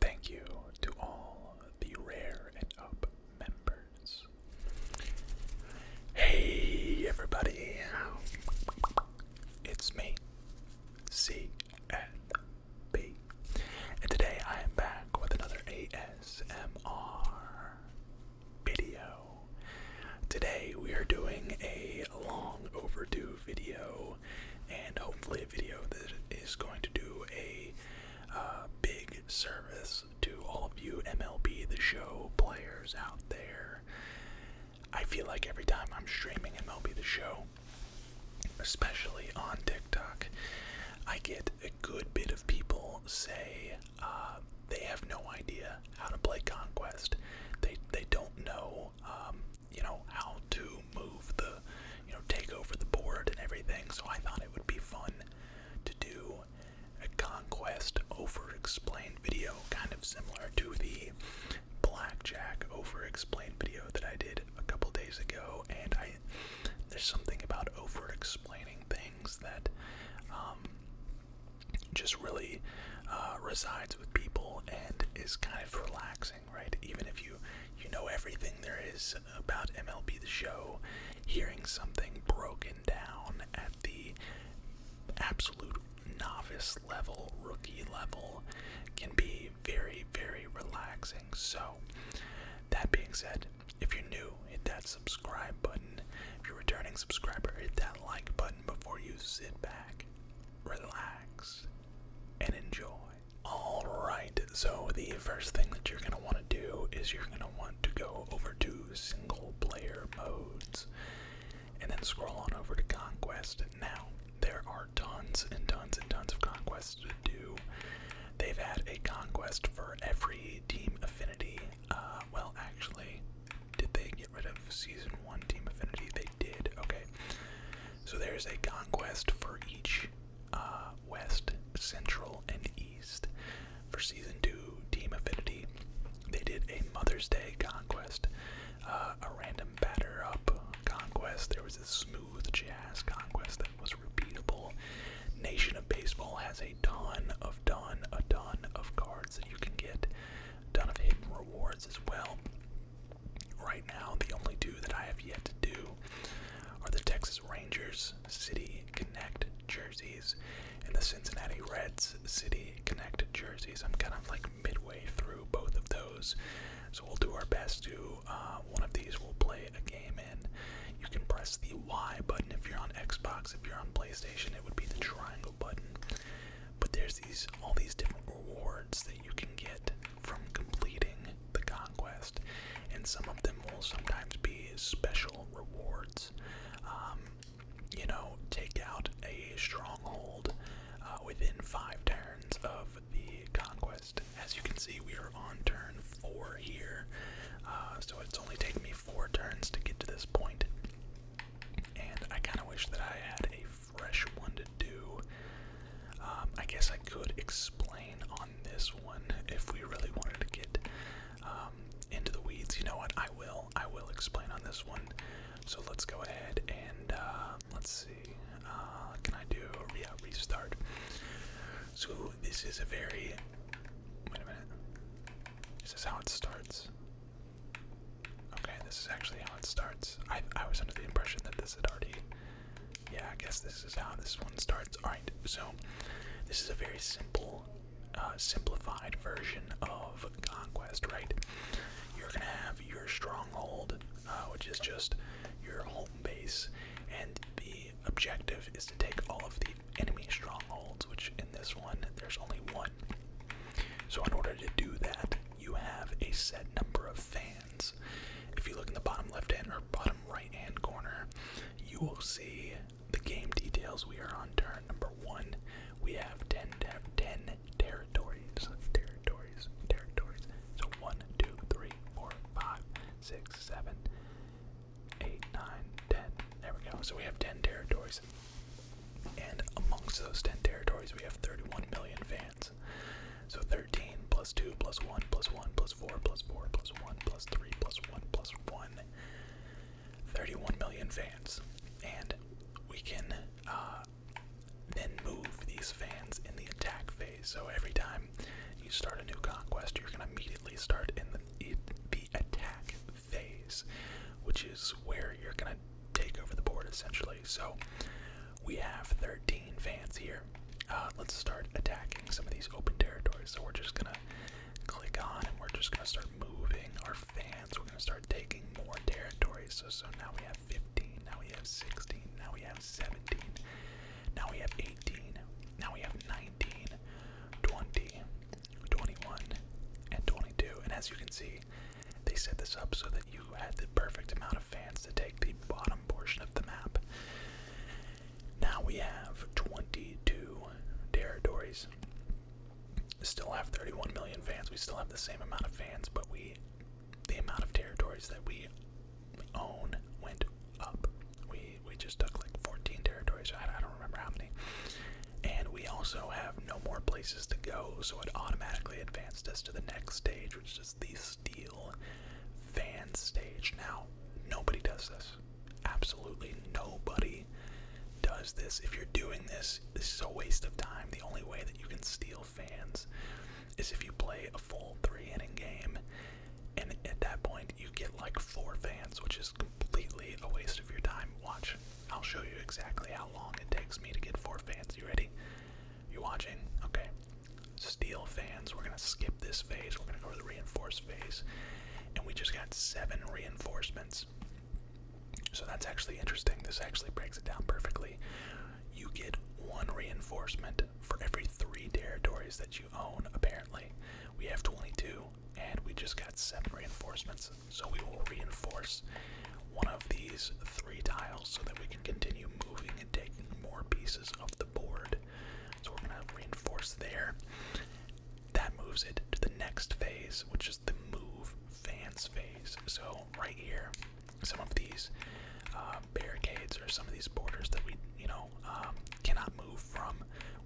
Thank you to all the Rare and Up members. Hey, everybody! It's me, CNB. And today I am back with another ASMR video. Today we are doing a long overdue video and hopefully a video that is going to do a uh, big service to all of you MLB The Show players out there. I feel like every time I'm streaming MLB The Show, especially on TikTok, I get a good bit of people say uh, they have no idea how to play Conquest. They they don't know um, you know, how to move the, you know, take over the board and everything. So I thought it would be fun to do a conquest over explained video, kind of similar to the blackjack over explained video that I did a couple days ago. And I, there's something about over explaining things that, um, just really uh, resides with people and is kind of relaxing right? Even if you you know everything there is about MLB the show, hearing something broken down at the absolute novice level, rookie level can be very, very relaxing. So, that being said, if you're new, hit that subscribe button. If you're a returning subscriber, hit that like button before you sit back, relax, and enjoy. Alright, so the first thing that you're going to want to do is you're going to want to go over to single player modes and then scroll on over to Conquest. Now, there are tons and tons and tons of conquests to do. They've had a conquest for every team affinity. Uh, well, actually, did they get rid of Season 1 Team Affinity? They did. Okay. So there's a conquest for each uh, West, Central, and East. For season two, Team Affinity, they did a Mother's Day conquest, uh, a random batter up conquest. There was a smooth jazz conquest that was repeatable. Nation of Baseball has a ton of ton, a ton of cards that you can get, a ton of hidden rewards as well. Right now, the only two that I have yet to do are the Texas Rangers City Connect jerseys and the Cincinnati Reds City Connect jerseys. I'm kind of like midway through both of those, so we'll do our best to. Uh, one of these will play a game in. You can press the Y button if you're on Xbox. If you're on PlayStation, it would be the triangle button. But there's these all these different rewards that you can get from completing the conquest, and some of them will sometimes be special rewards. Um, you know, take out a stronghold uh, within five turns of the conquest. As you can see, we are on turn four here, uh, so it's only taken me four turns to get to this point. And I kind of wish that I had a fresh one to do. Um, I guess I could explain on this one if we really wanted to get um, into the weeds. You know what? I will. I will explain on this one. So let's go ahead and uh, let's see. Uh, can I do a yeah, restart? So this is a very. Wait a minute. Is how it starts? Okay, this is actually how it starts. I was under the impression that this had already yeah, I guess this is how this one starts. Alright, so this is a very simple, uh, simplified version of Conquest, right? You're gonna have your stronghold, uh, which is just your home base, and the objective is to take all of the enemy strongholds, which in this one, there's only one. So, in order to do that, you have a set number of fans. If you look in the bottom left hand or bottom right hand corner, you will see the game details. We are on turn number one. We have 10, territories. Territories, territories. So 1, There we go. So we have 10 territories. And amongst those 10 territories, we have 31 million fans. So 13 plus 2 plus 1 plus 1 plus 4 plus 4 plus 1 plus 3 plus 1 plus 1. 31 million fans. And we can uh, then move these fans in the attack phase. So every time you start a new conquest, you're going to immediately start in the attack phase, which is where you're going to take over the board essentially. So we have 13 fans here. Uh, let's start attacking some of these open territories. So we're just gonna click on and we're just gonna start moving our fans. We're gonna start taking more territories. So so now we have 15, now we have 16, now we have 17, now we have 18, now we have 19, 20, 21, and 22. And as you can see, they set this up so that you had the perfect amount of fans to take the bottom portion of the map. Now we have 22 territories. Still have 31 million fans. We still have the same amount of fans, but we the amount of territories that we own went up. We we just took like 14 territories. I, I don't remember how many. And we also have no more places to go, so it automatically advanced us to the next stage, which is the steel Fans stage. Now, nobody does this. Absolutely nobody does this. If you're doing this, this is a waste of time. The only way that you can steal fans is if you play a full three inning game, and at that point, you get like four fans, which is completely a waste of your time. Watch. I'll show you exactly how long it takes me to get four fans. You ready? You watching? Okay steel fans. We're gonna skip this phase. We're gonna go to the reinforced phase, and we just got seven reinforcements. So that's actually interesting. This actually breaks it down perfectly. You get one reinforcement for every three territories that you own, apparently. We have 22, and we just got seven reinforcements. So we will reinforce one of these three tiles so that we can continue moving and taking more pieces of the board. So we're gonna reinforce there. That moves it to the next phase, which is the move fans phase. So right here, some of these um, barricades or some of these borders that we, you know, um, cannot move from.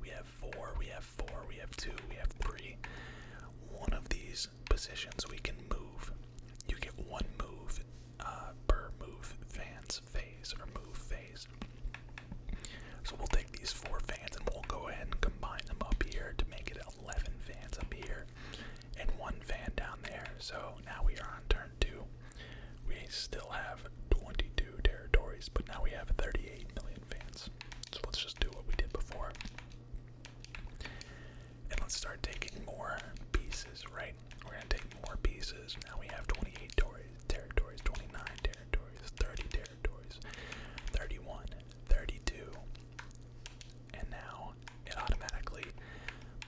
We have four, we have four, we have two, we have three. One of these positions we can move. You get one move uh, per move fans phase or move phase. So we'll take these four fans and we'll go ahead and combine them up here to make it 11 fans up here and one fan down there. So now we are on turn two. We still have 22 territories, but now we have 38 million fans. So let's just do what we did before. And let's start taking more pieces, right? we're gonna take more pieces. Now we have 28 territories, 29 territories, 30 territories, 31, 32. And now it automatically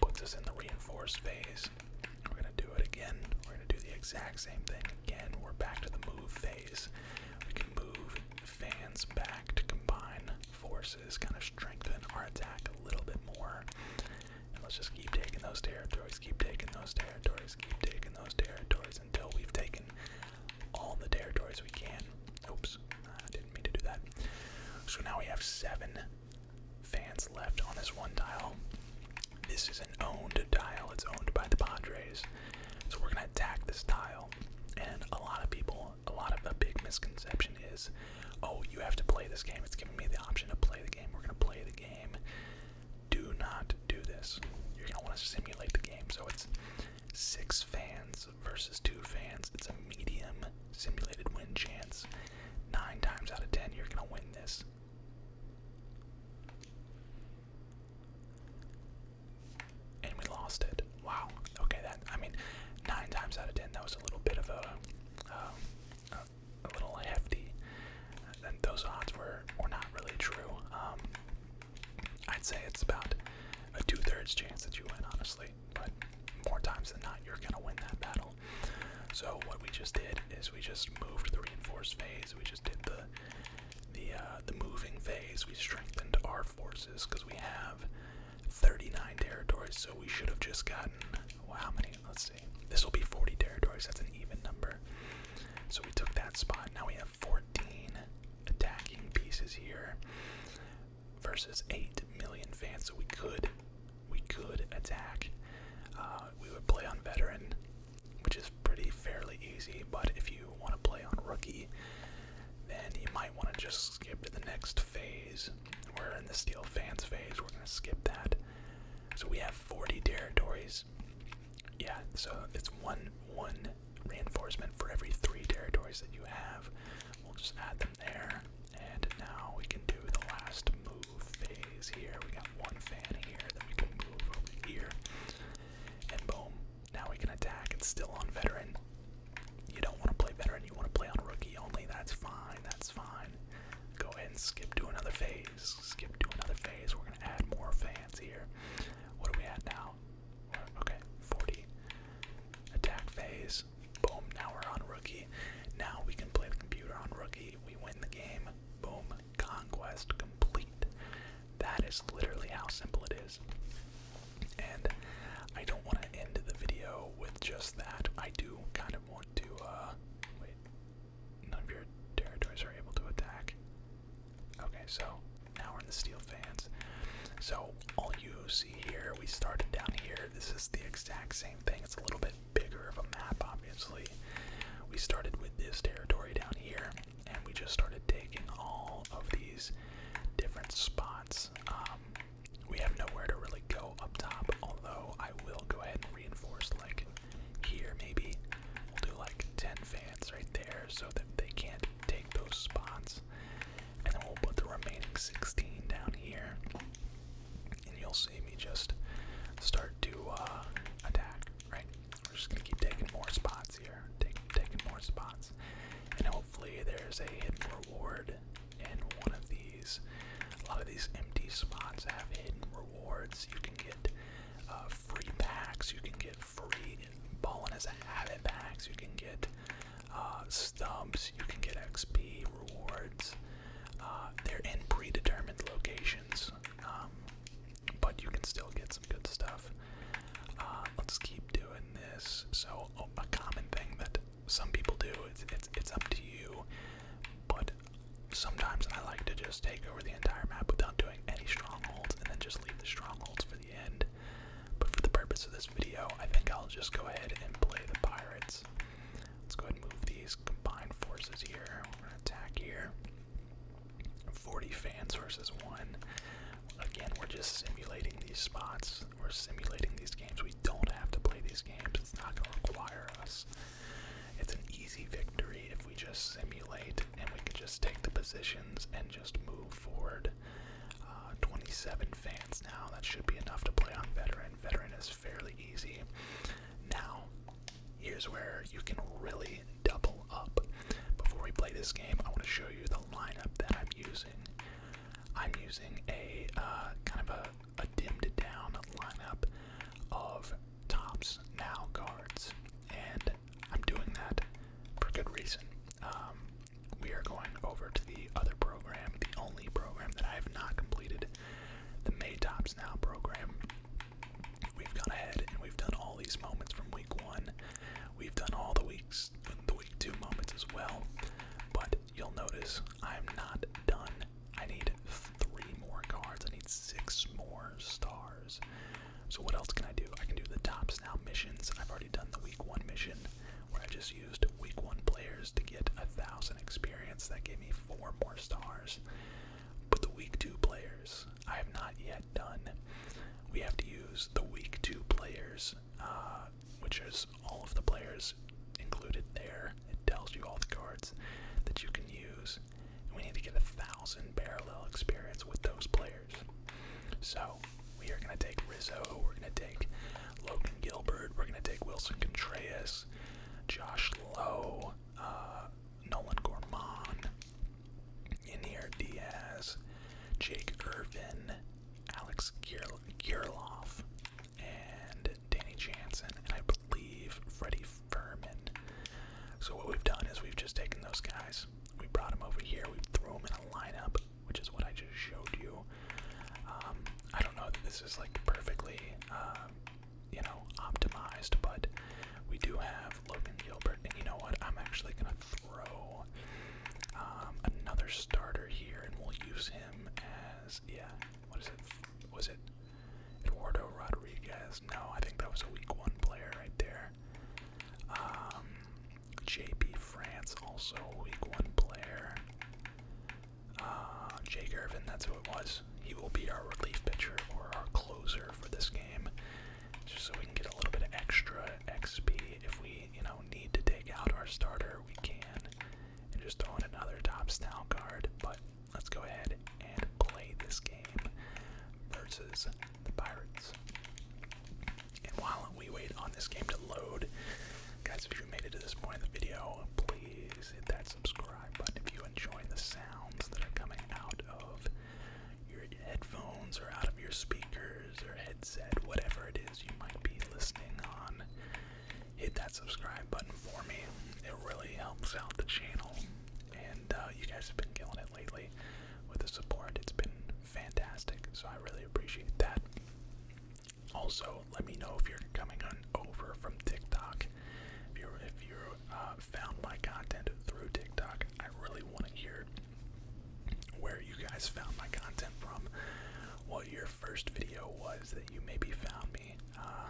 puts us in the reinforce phase. We're gonna do it again. We're gonna do the exact same thing again. We're back to the move phase. We can move fans back to combine forces, kind of strengthen our attack a little bit more. And let's just keep taking those territories, keep taking those territories, keep taking those territories until we've taken all the territories we can. Oops, I didn't mean to do that. So now we have seven fans left on this one tile. This is an owned tile, it's owned by the Padres. So we're gonna attack this tile. And a lot of people, a lot of a big misconception is, oh, you have to play this game. It's giving me the option to play the game. We're gonna play the game do not do this. You're gonna want to simulate the game. So it's six fans versus two fans. It's a medium simulated win chance. Nine times out of ten, you're gonna win this. And we lost it. Wow. Okay, that. I mean, nine times out of ten, that was a little bit of a um, a little hefty. And those odds were were not really true. Um, I'd say it's about a two-thirds chance that you win, honestly. But more times than not, you're gonna win that battle. So what we just did is we just moved the reinforced phase. We just did the the uh, the moving phase. We strengthened our forces because we have 39 territories. So we should have just gotten how many? Let's this will be 40 territories, that's an even number. So we took that spot. Now we have 14 attacking pieces here versus 8 million fans. So we could we could attack. Uh, we would play on veteran, which is pretty fairly easy, but if you want to play on rookie, then you might want to just skip to the next phase. We're in the steel fans phase, we're gonna skip that. So we have 40 territories. Yeah, so it's one one reinforcement for every three territories that you have. We'll just add them there. And now we can do the last move phase here. We got one fan here that we can move over here. And boom. Now we can attack. It's still on veteran. You don't want to play veteran, you want to play on rookie only. That's fine. That's that's fine. Go ahead and skip to another phase. Skip to another phase. We're gonna add more fans here. What are we at now? Okay, 40. Attack phase. Boom. Now we're on rookie. Now we can play the computer on rookie. We win the game. Boom. Conquest complete. That is literally how simple it is. And I don't want to end the video with just that. I do kind of want to, uh, wait, none of your territories are able to attack. Okay, so now we're in the steel fans. So all you see here, we started down here. This is the exact same thing. It's a little bit bigger of a map, obviously. We started with this territory down here, and we just started taking all of these different spots. Um, we have nowhere to really go up top, although I will go ahead and reinforce like here maybe. We'll do like 10 fans right there so that they can't take those spots. And then we'll put the remaining 16 down here. And you'll see me just start to uh, attack, right? We're just gonna keep taking more spots here, take, taking more spots. And hopefully there's a hidden reward in one of the a lot of these empty spots have hidden rewards. You can get uh, free packs. You can get free ballin' as a habit packs. You can get uh, stumps. You can get XP rewards. Uh, they're in predetermined locations, um, but you can still get some good stuff. Uh, let's keep doing this. So oh, a common thing that some people do it's, it's it's up to you, but sometimes I like to just take over the entire map without doing any strongholds and then just leave the strongholds for the end. But for the purpose of this video, I think I'll just go ahead and play the pirates. Let's go ahead and move these combined forces here. We're gonna attack here. 40 fans versus one. Again, we're just simulating these spots. We're simulating these games. We don't have to play these games. It's not going to require us. It's an easy victory if we just simulate and we can just take the positions and just move forward. Uh, 27 fans now. That should be enough to play on veteran. Veteran is fairly easy. Now, here's where you can really double up. Before we play this game, I want to show you the lineup that I'm using. I'm using a uh, kind of a dimmed down lineup of tops now cards, and I'm doing that for good reason. Um, we are going over to the other program, the only program that I have not completed, the May Tops Now program. We've gone ahead and we've done all these moments from week one. We've done all the weeks, the week two moments as well. But you'll notice I'm not done I need three more cards. I need six more stars. So what else can I do? I can do the tops now missions. I've already done the week one mission where I just used week one players to get a thousand experience. That gave me four more stars. But the week two players I have not yet done. We have to use the week two players, uh, which is all of the players included there. It tells you all the cards that you can use. And we need to get a thousand parallel experience with those players. So we are gonna take Rizzo, we're gonna take Logan Gilbert, we're gonna take Wilson Contreras, Josh Lowe, uh, Nolan Gorman, Inier Diaz, Jake Irvin, Alex Kirilov, and Danny Jansen, and I believe Freddie so what we've done is we've just taken those guys, we brought them over here, we threw them in a lineup, which is what I just showed you. Um, I don't know that this is like perfectly, um, you know, optimized, but we do have Logan Gilbert, and you know what? I'm actually gonna throw um, another starter here, and we'll use him as yeah. What is it? Was it Eduardo Rodriguez. No, I think that was a week one player right there. Um, JP France, also a week one player. Uh, Jake Irvin, that's who it was. He will be our relief pitcher or our closer for this game, just so we can get a little bit of extra XP if we, you know, need to take out our starter. We can, and just throw in another top style card. But let's go ahead and play this game versus the Pirates. And while we wait on this game to load, guys, if you made it to this point in the video, please hit that subscribe button if you enjoy the sounds that are coming out of your headphones or out of your speakers or headset, whatever it is you might be listening on hit that subscribe button for me. It really helps out the channel. And uh, you guys have been killing it lately with the support. It's been fantastic. So I really appreciate that. Also, let me know if you're coming on over from TikTok. If you if you uh, found my content through TikTok, I really want to hear where you guys found my content from. What your first video was that you maybe found me. Uh,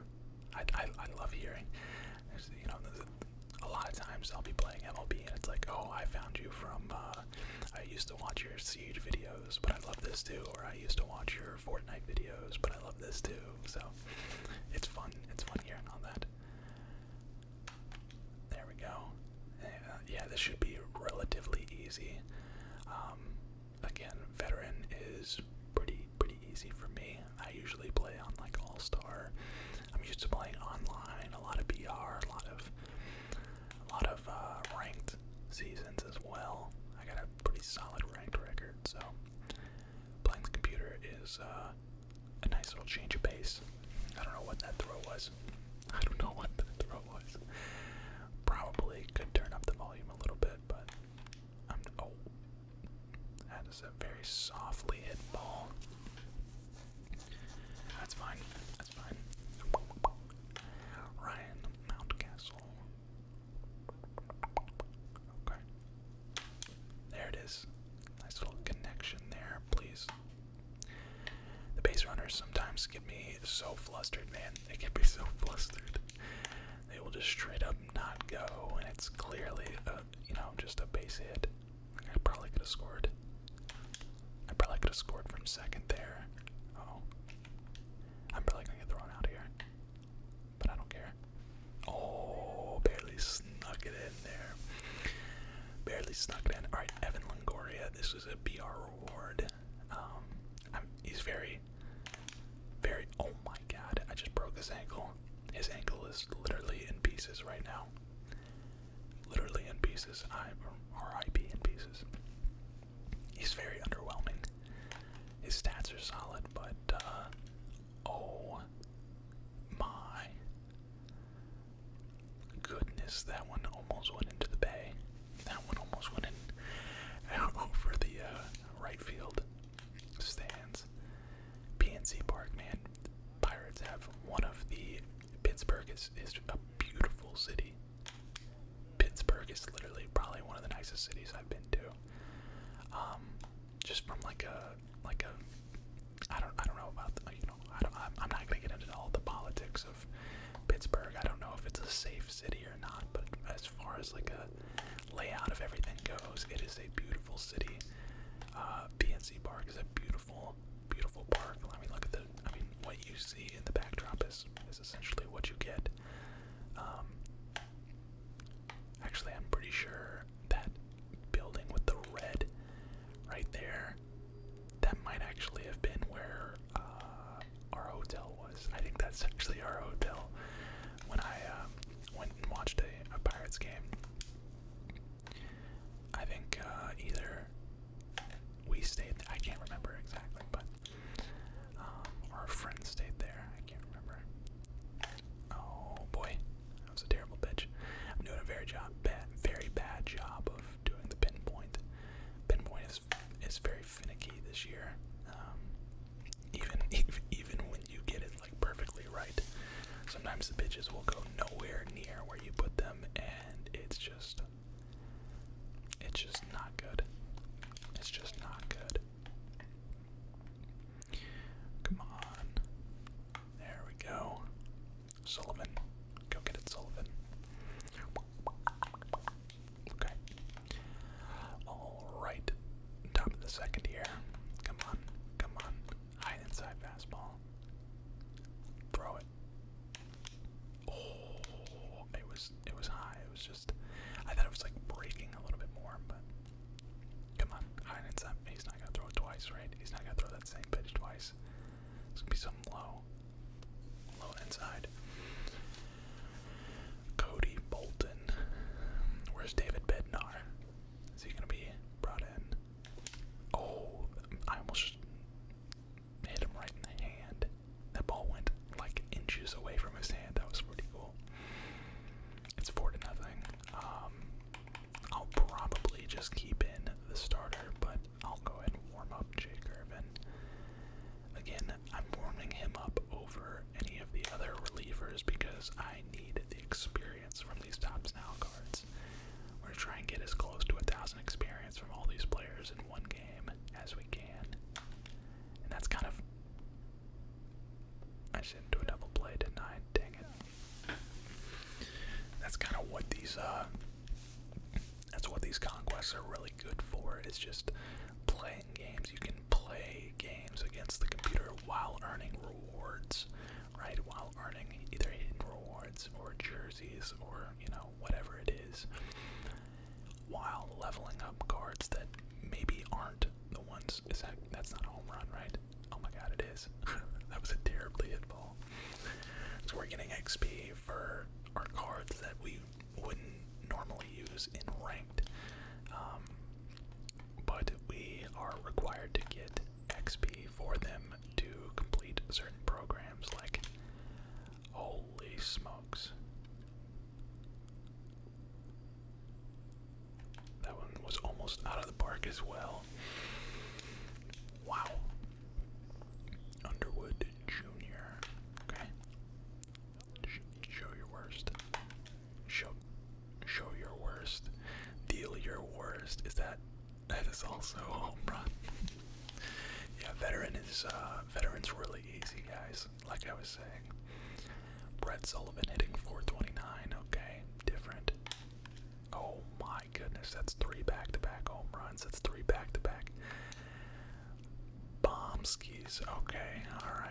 I, I, love hearing. you know, a, lot of times I'll be playing MLB and it's like, oh, I found you from. Uh, I used to watch your Siege videos, but I love this too. Or I used to watch your Fortnite videos, but I love this too. So it's fun. It's fun hearing all that. There we go. Uh, yeah, this should be relatively easy. Um, again, veteran is pretty pretty easy for me. I usually play on like All Star. I'm used to playing online, a lot of BR, a lot of a lot of uh, ranked seasons as well. I got a pretty solid ranked record, so playing the computer is uh, a nice little change of pace. I don't know what that throw was. I don't know what that throw was. Probably could turn up the volume a little bit, but oh, that is a very softly hit ball. That's fine. That's fine. Ryan Mountcastle. Okay. There it is. Nice little connection there, please. The base runners sometimes get me so flustered, man. They get me so flustered they will just straight up not go, and it's clearly, a, you know, just a base hit. I probably could have scored. I probably could have scored from second there. oh, I'm probably gonna get thrown out here, but I don't care. Oh, barely snuck it in there. Barely snuck it in. All right, Evan Longoria. This is a BR reward. Um, he's very very, Oh my god, I just broke his ankle. His ankle is literally in pieces right now. Literally in pieces. I, RIP in pieces. He's very underwhelming. His stats are solid, but, uh, oh my goodness, that one almost went into the bay. That one almost went in over the uh, right field stands. PNC Park, man. Pirates have one of the Pittsburgh is is a beautiful city. Pittsburgh is literally probably one of the nicest cities I've been to. Um, just from like a like a I don't I don't know about you know gonna get into all the politics of Pittsburgh. I don't know if it's a safe city or not, but as far as like a layout of everything goes. It is a beautiful city. Uh, PNC Park is a beautiful, beautiful park. I mean, look at the. I mean, what you see in the backdrop is is essentially what you get. Um, actually, I'm pretty sure that building with the red right there, that might actually have been where uh, our hotel was. I think that's actually our hotel when I um, went and watched a, a Pirates game. I think uh, either we stayed, I can't remember exactly, but um, our friend stayed there. I can't remember. Oh boy, that was a terrible pitch. I'm doing a very job, bad, very bad job of doing the pinpoint. Pinpoint is is very finicky this year. Um, even even when you get it like perfectly right. Sometimes the bitches will go nowhere near where you put them, and it's just, it's just not good. It's just not good. Come on. There we go. Sullivan. Go get it, Sullivan. Okay. All right, top of the second here. Come on, come on. High inside fastball. Throw it. Oh, it was it was high. It was just I thought it was like breaking a little bit more, but come on, high inside. He's not gonna throw it twice, right? He's not gonna throw that same pitch twice. It's gonna be something low, low inside. Cody Bolton. Where's David Bednar? Is he gonna be brought in? Oh, I almost hit him right in the hand. That ball went like inches away from his hand. That was pretty cool. It's four to nothing. Um, I'll probably just keep in the starter, but I'll go ahead and warm up Jake Irvin. Again, I'm warming him up over any of the other relievers because I I need the experience from these top now cards. We're gonna try and get as close to a thousand experience from all these players in one game as we can. And that's kind of I shouldn't do a double play, tonight. Dang it. That's kind of what these uh that's what these conquests are really good for. It's just playing games. You can play games against the computer while earning rewards, right? While earning either hidden rewards or jerseys or, you know, whatever it is, while leveling up cards that maybe aren't the ones. Is that, that's not a home run, right? Oh my god, it is. that was a terribly hit ball. So we're getting XP for our cards that we wouldn't normally use in ranked. Um, but we are required to get XP for them to complete certain programs. Like, holy smokes. That one was almost out of the park as well. Wow. Underwood Jr. Okay. Show your worst. Show, show your worst. Deal your worst. Is that? That is also home run. yeah, veteran is uh, veterans really easy, guys. Like I was saying, Brett Sullivan hitting 429. Okay, different. Oh my goodness, that's three back-to-back home runs. That's three back-to-back bombskis. Okay, all right.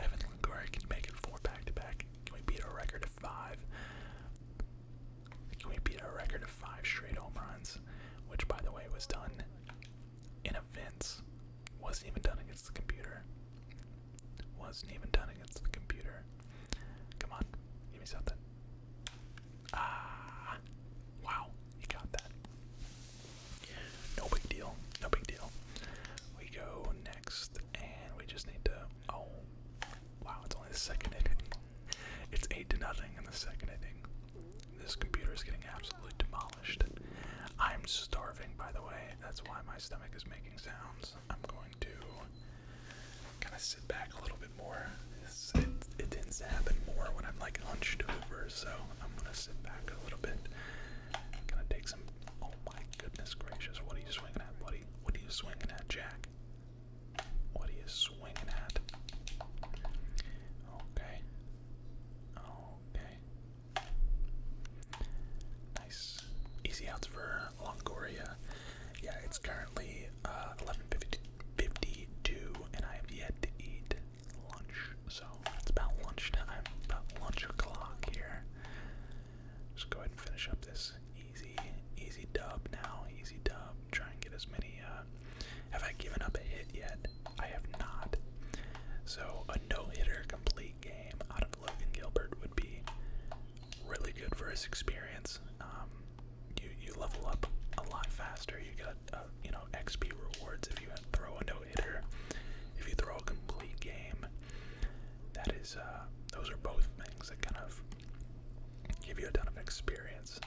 Evan Longoria, can you make it four back to back? Can we beat a record of five? Can we beat our record of five straight home runs? Which, by the way, was done in events. Wasn't even done against the computer. Wasn't even done against the computer. Come on, give me something. Ah, wow, he got that. No big deal. No big deal. We go next, and we just need to. Oh, wow! It's only the second inning. It's eight to nothing in the second inning. This computer is getting absolutely demolished. I'm starving, by the way. That's why my stomach is making sounds. I'm going to kind of sit back a little bit more. it, it tends to happen more when I'm like hunched over, so I'm gonna sit back a little bit. Gonna take some Oh my goodness gracious, what are you swinging at, buddy? What are you swinging at, Jack? What are you swinging at? Okay. Okay. Nice. Easy outs for Longoria. Yeah, it's currently uh, 11.52 and I have yet to eat lunch. So it's about lunch time. about lunch o'clock here there. Just go ahead and finish up this easy, easy dub now. Easy dub. Try and get as many. Uh, have I given up a hit yet? I have not. So a no-hitter complete game out of Logan Gilbert would be really good for his experience. Um, you you level up a lot faster. You got uh, you know XP rewards if you throw a no-hitter. If you throw a complete game, that is, uh, those are both things that kind of give you a ton of experience.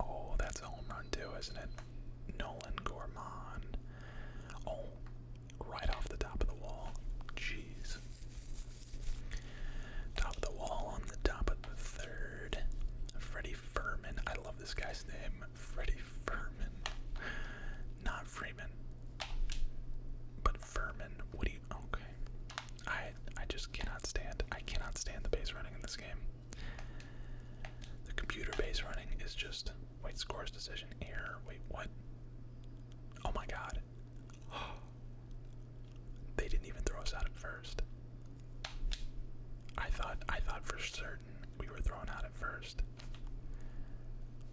Oh, that's a home run too, isn't it? Nolan Gorman. Oh, right off the top of the wall. Jeez. Top of the wall on the top of the third. Freddie Furman. I love this guy's name. Freddie Furman. Not Freeman. But Furman, what do you? Okay, I I just cannot stand. I cannot stand the base running in this game. The computer base running is just wait scores decision error. Wait what? Oh my god. They didn't even throw us out at first. I thought I thought for certain we were thrown out at first.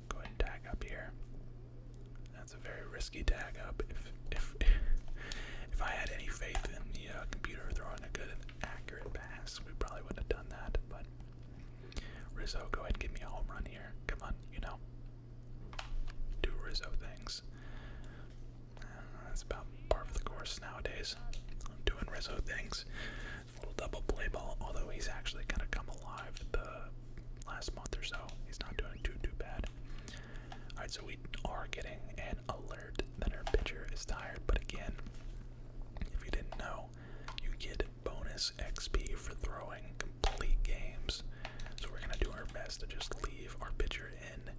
Go ahead and tag up here. That's a very risky tag up. If if if I had any faith in the uh, computer throwing a good and accurate pass, we probably would not have done that. But Rizzo, go ahead and give me a home run here. Come on, you know, do Rizzo things. Uh, that's about part of the course nowadays. I'm doing Rizzo things little double play ball, although he's actually kind of come alive the last month or so. He's not doing too, too bad. All right, so we are getting an alert that our pitcher is tired, but again, if you didn't know, you get bonus XP for throwing complete games. So we're gonna do our best to just leave our pitcher in.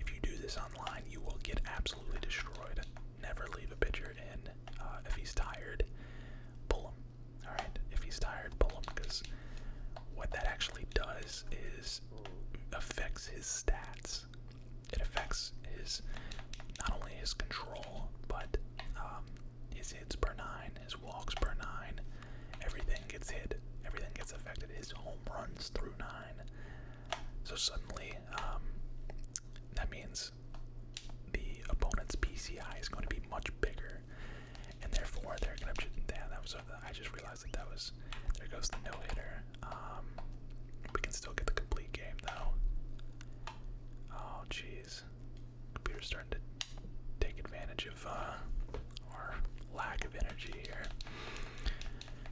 If you do this online, you will get absolutely destroyed. Never leave a pitcher in. Uh, if he's tired, pull him. Alright, if he's tired, pull him, because what that actually does is affects his stats. It affects his not only his control, but um, his hits per nine, his walks per nine. Everything gets hit. Everything gets affected. His home runs through nine. So suddenly, um, that means the opponent's PCI is going to be much bigger, and therefore they're going to. be down. that was. I just realized that that was. There goes the no hitter. Um, we can still get the complete game though. Oh jeez, computer's starting to take advantage of uh, our lack of energy here.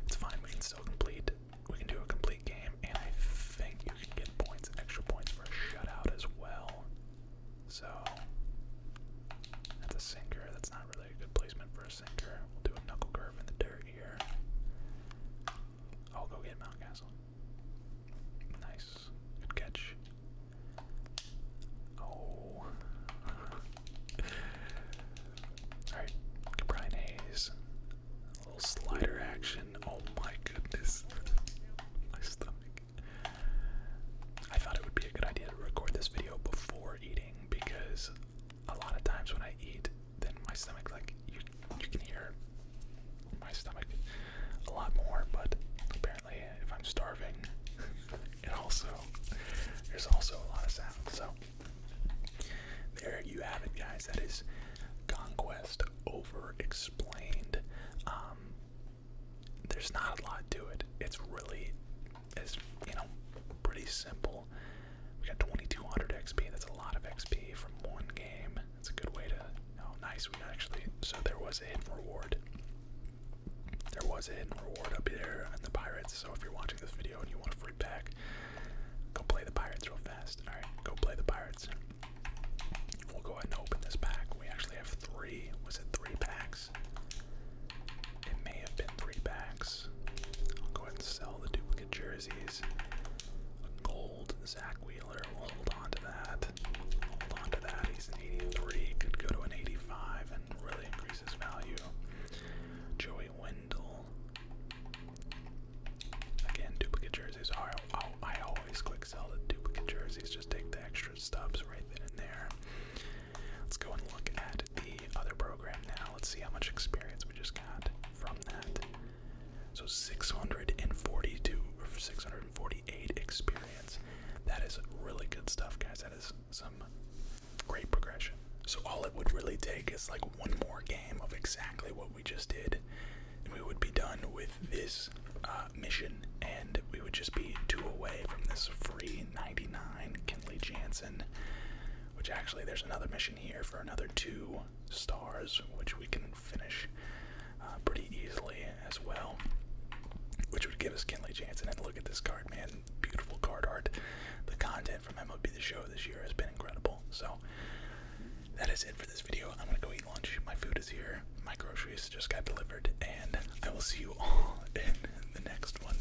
It's fine. We can still complete. We can do a complete game, and I think you can get points, extra points for a shutout as well. So that's a sinker. That's not really a good placement for a sinker. We'll do a knuckle curve in the dirt here. I'll go get Mountcastle. Nice. Good catch. Oh. Alright. Brian Hayes. A little slider action. Oh my goodness. my stomach I thought it would be a good idea to record this video before eating because a lot of times when I eat, then my stomach like you you can hear my stomach a lot more, but apparently if I'm starving, it also there's also a lot of sound. So there you have it guys. That is Conquest over explained. Um, there's not a lot to it. It's really, it's, you know, pretty simple. We got 2200 XP. That's a lot of XP from one game. That's a good way to. Oh, nice. We actually. So there was a hidden reward. There was a hidden reward up there on the Pirates. So if you're watching this video and you want a free pack, go play the Pirates real fast. Alright, go play the Pirates. We'll go ahead and open this pack. We actually have three. Was it three packs? It may have been three packs. I'll go ahead and sell the duplicate jerseys. A gold Zach Wheeler. We'll hold on to that. Hold on to that. He's an 83. Could go to an 85 and really increase his value. Joey Wendell. Again, duplicate jerseys. All I, I always quick sell the duplicate jerseys, just take the extra stubs right then and there. Let's go and look at the other program now. Let's see how much experience we just got from that. So 642 or 648 experience. That is really good stuff, guys. That is some great progression. So all it would really take is like one more game of exactly what we just did and we would be done with this uh, mission, and we would just be two away from this free 99 Kinley Jansen. Which actually, there's another mission here for another two stars, which we can finish uh, pretty easily as well. Which would give us Kinley Jansen. And look at this card, man. Beautiful card art. The content from MLB The Show this year has been incredible. So, that is it for this video. I'm going to go eat eat lunch. My food is here. My groceries just got delivered, and I will see you all in the next one.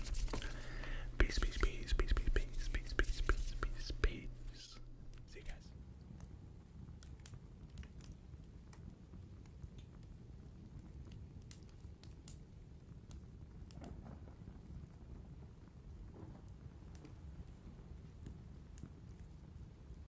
Peace, peace, peace, peace, peace, peace, peace, peace, peace, peace, peace. See you guys.